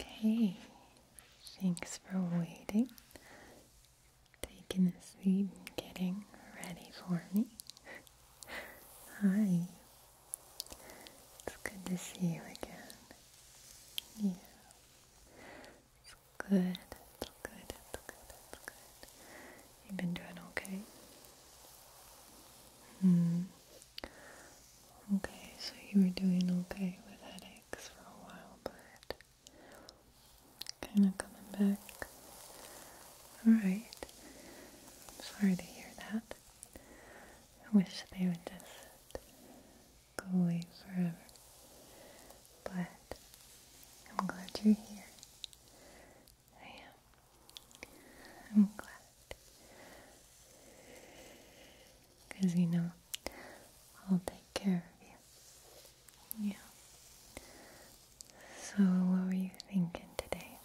Okay thanks for waiting taking a seat and getting ready for me Hi it's good to see you again yeah it's good. It's good. It's good. It's good. You've been doing okay. Hmm. Okay, so you were doing okay with headaches for a while, but kind of coming back. All right. Sorry to hear that. I wish they would just go away forever. But I'm glad you're here. I am. I'm glad. Because you know, I'll take care of you. Yeah. So, what were you thinking today?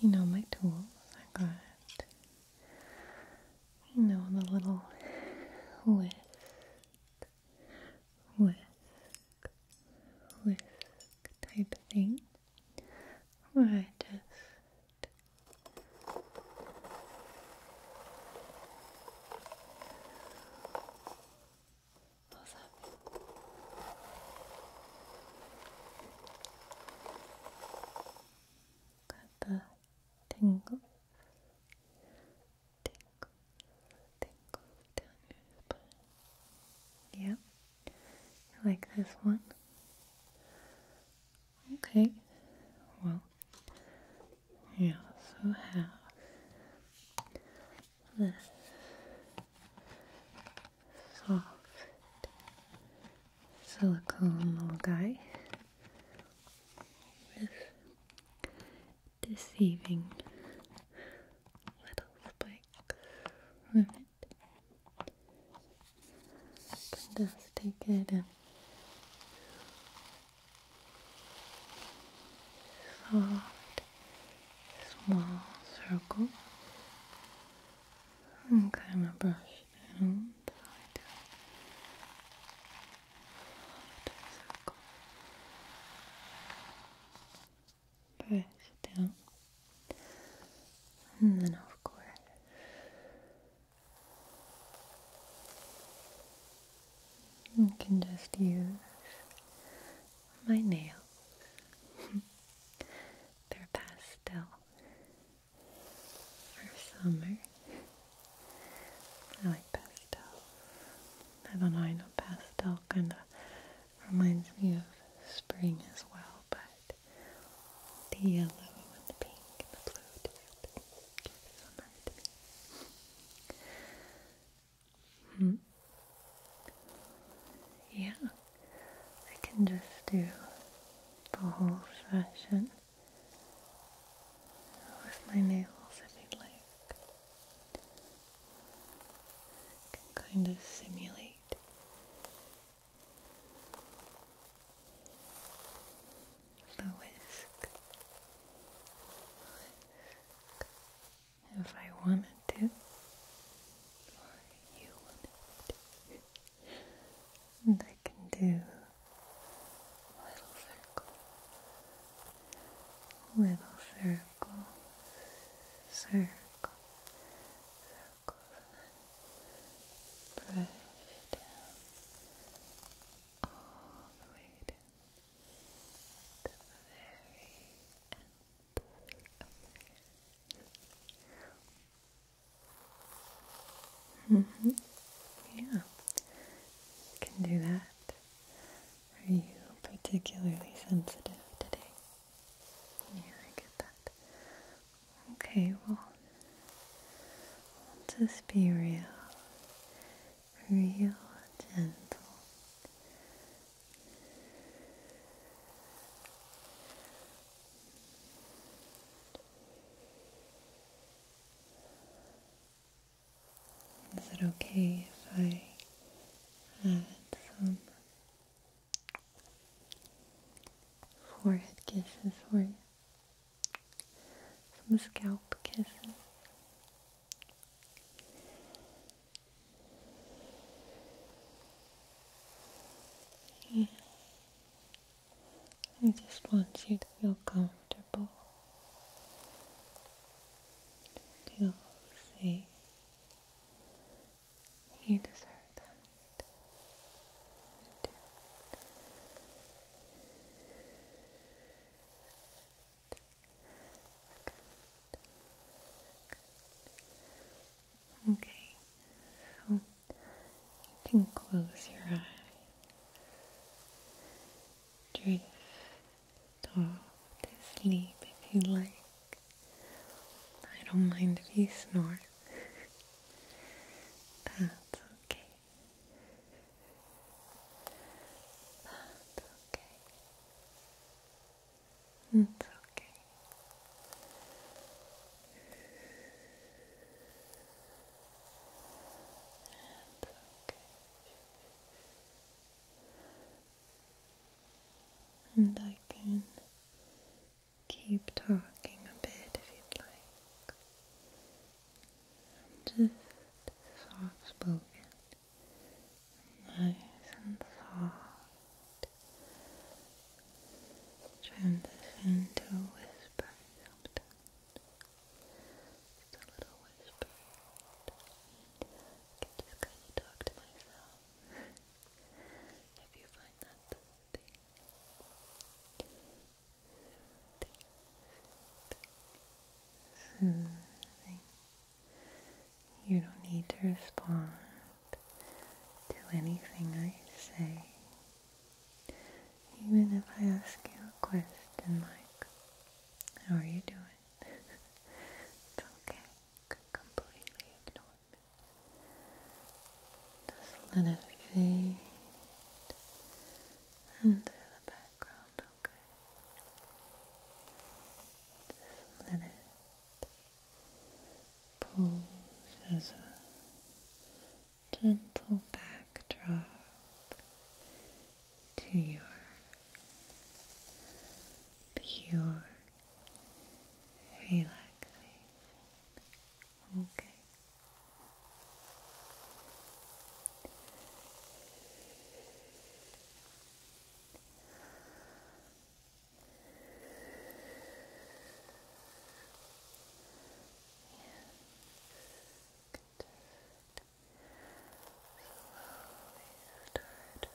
You know, my tools I got. You know, the little list whisk, whisk type thing where I just up? Got the tingles tingles, tingles down your spine. Yep. like this one? Okay. Well, we also have this soft silicone little guy deceiving little spikes just take it and soft, small circle and kind of brush down the side circle. down. And then, of course, you can just use my nails. They're pastel for summer. I like pastel. I don't know, I know pastel kind of reminds me of spring as well, but the yellow and the pink and the blue just give summer to me. Hmm. Yeah, I can just do the whole session with my nails if you'd like. Can kind of simulate the whisk. if I wanted to, or you wanted to. I can do little circle, little circle, circle, circle, brush down all the way to the very end of your Mm-hmm. Yeah can do that. Are you particularly sensitive today? Yeah, I get that. Okay, well, let's just be real, real gentle. Is it okay if I add some forehead kisses for you? Some scalp kisses? I just want you to feel comfortable, feel safe. You deserve that. You Okay, you can close your eyes drift off to sleep if you like. I don't mind if you snore. That's okay. That's okay. It's okay. And okay. And I can keep talking a bit if you'd like. I'm just soft spoken. Nice and soft. Transition to whisper sometimes. Just a little whisper. I can just kind of talk to myself. if you find that soothing. You don't need to respond to anything I say. Even if I ask you a question like, how are you doing? it's okay. completely ignore me. Just let it fade into the background, okay? Just let it pose as a gentle backdrop to your pure relaxation. Okay start from the scalp right down,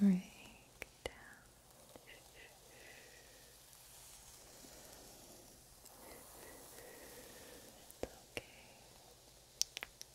right down. It's okay.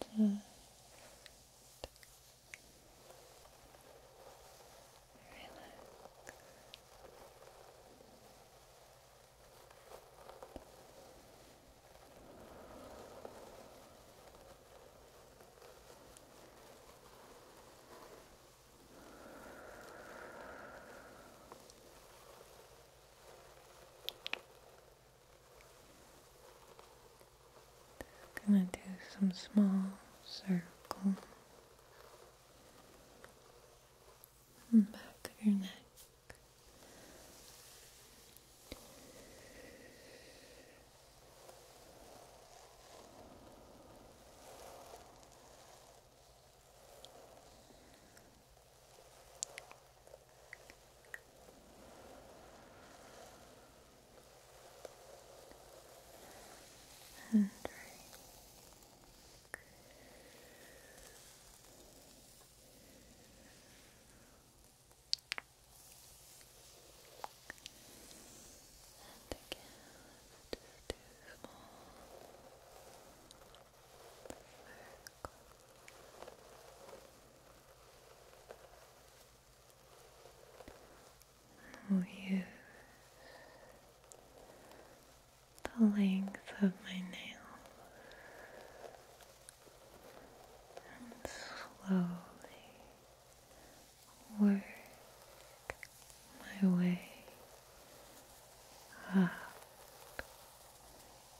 Just relax. Just I'm going to do some small circles in the back of your neck. And drink. And again. Just do small circles. i the length of my nails and slowly work my way up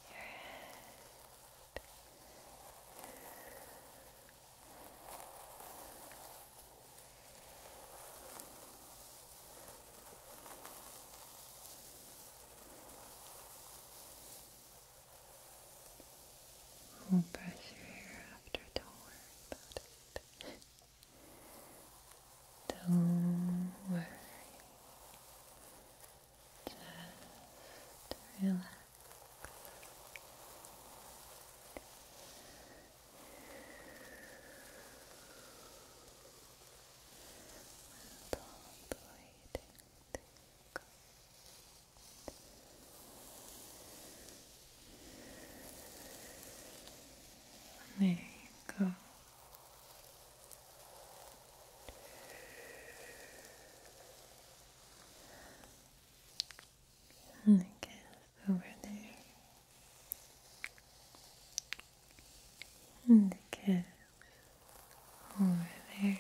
your head. We'll brush your hair after, don't worry about it. Don't worry. Just relax. And all the way down, down. There you go. And I guess over there. And the calf over there.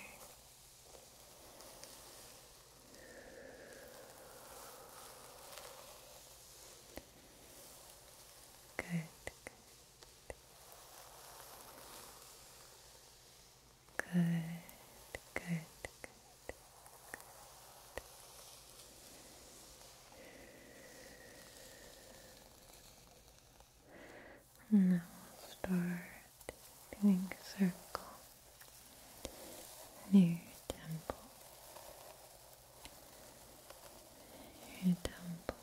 Good. Good. Good. Good. Good. Good. Now we'll start doing circles Near temple, your temple,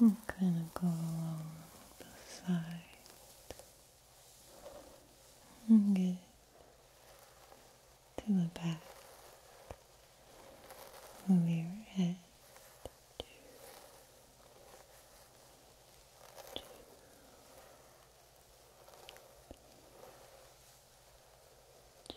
I'm gonna go along the side and get to the back of your head. Two, two. Two. Good.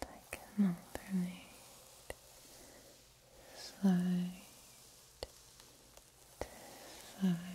And I can alternate side to side.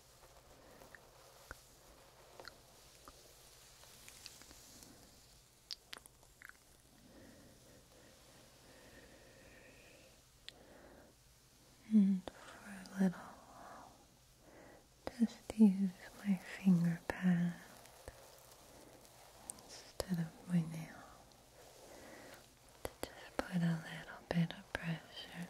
And for a little just use my finger pad instead of my nail to just put a little bit of pressure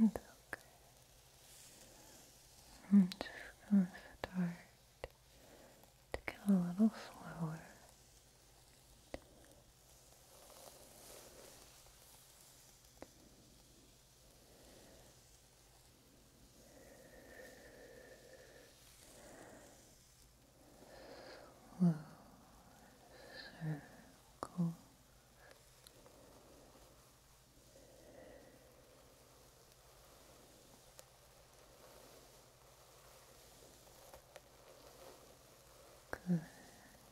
And okay. And okay. I'm just gonna start to get a little slower. Slow circles. Good.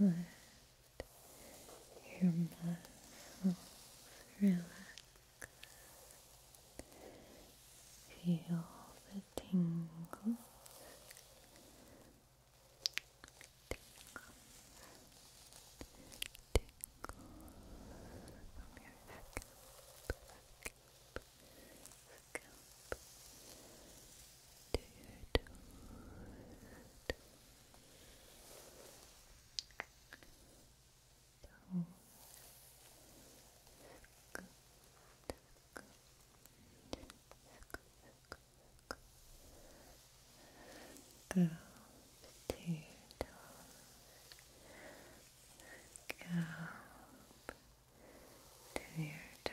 Really good. Let your muscles relax. Feel the tingle, Tingles. Tingles from your scalp to your toes. とすくすく Those two toes scalp to your toes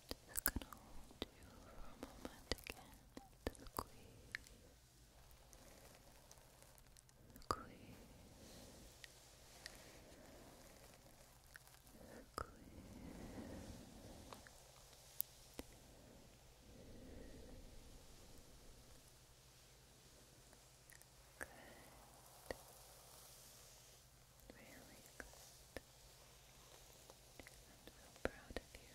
Just gonna hold you for a moment again to squeeze, squeeze, Really good. I'm so proud of you.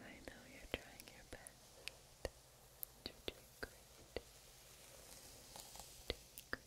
I know you're trying your best. You're doing great. Doing great.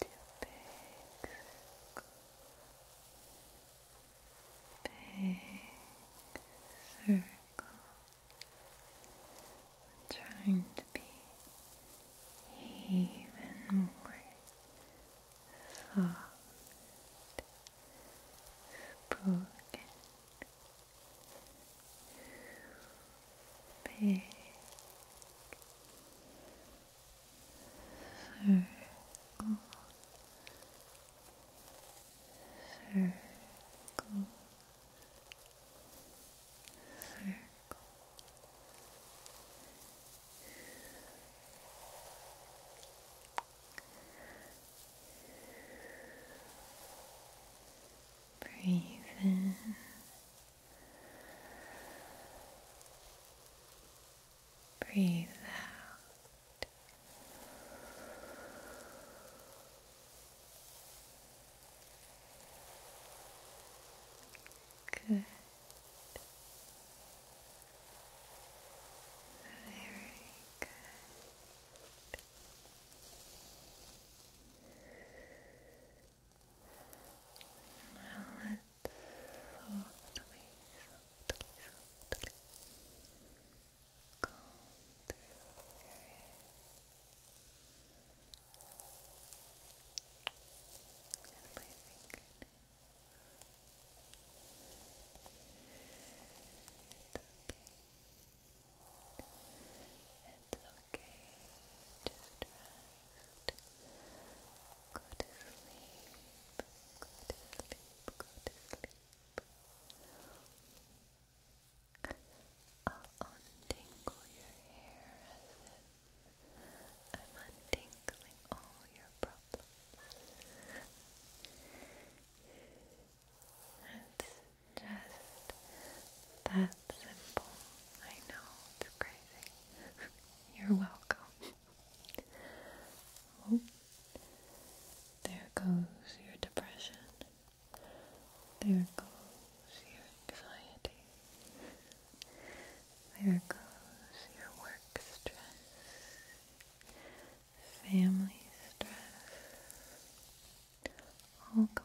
big circle. I'm trying to be even more soft, spoken, big circle, circle, circle. Breathe in Breathe out. Good. Very good. Now let's softly, softly, softly comb through your hair. And my fingernails. It's okay. It's okay. Just Go to sleep. Go to sleep. Go to sleep. I'll untangle your hair I'm untangling all your problems. It's just that simple. I know, it's crazy. You're welcome. Oh, there goes your depression. There goes your anxiety. There goes your work stress, family stress. All gone.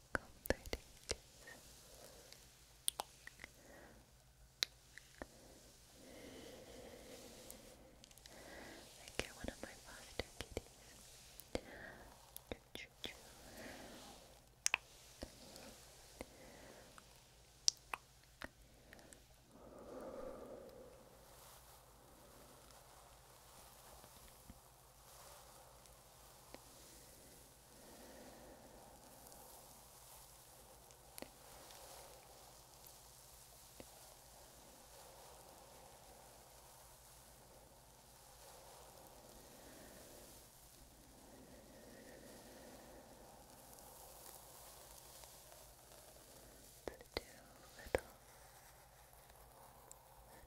comforting I get one of my foster kitties. Too little.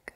Good.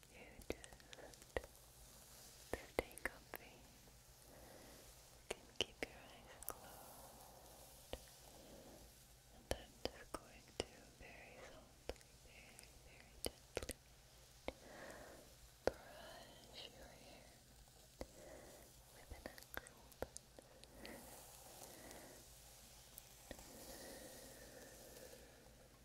You just stay comfy. You can keep your eyes closed. And I'm just going to very softly, very, very gently brush your hair with an actual brush.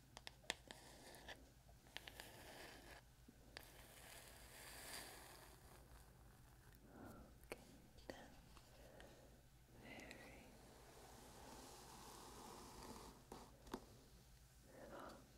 Okay, very softly. Very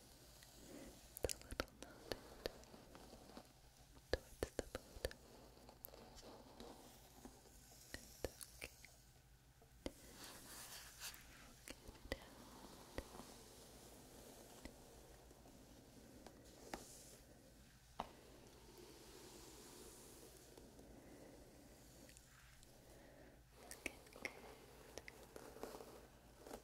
the little knotted towards the bottom. It's okay. We'll get it out. Looking good.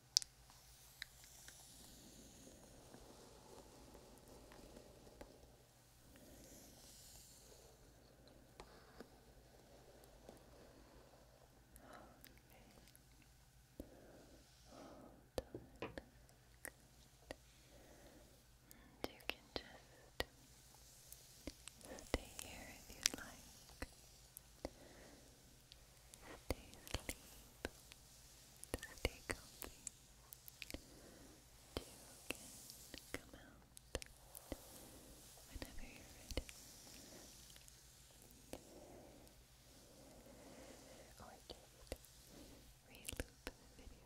Hold you can just stay here if you'd like. Stay asleep. Stay comfy. You come out whenever you're ready. Or just re the video.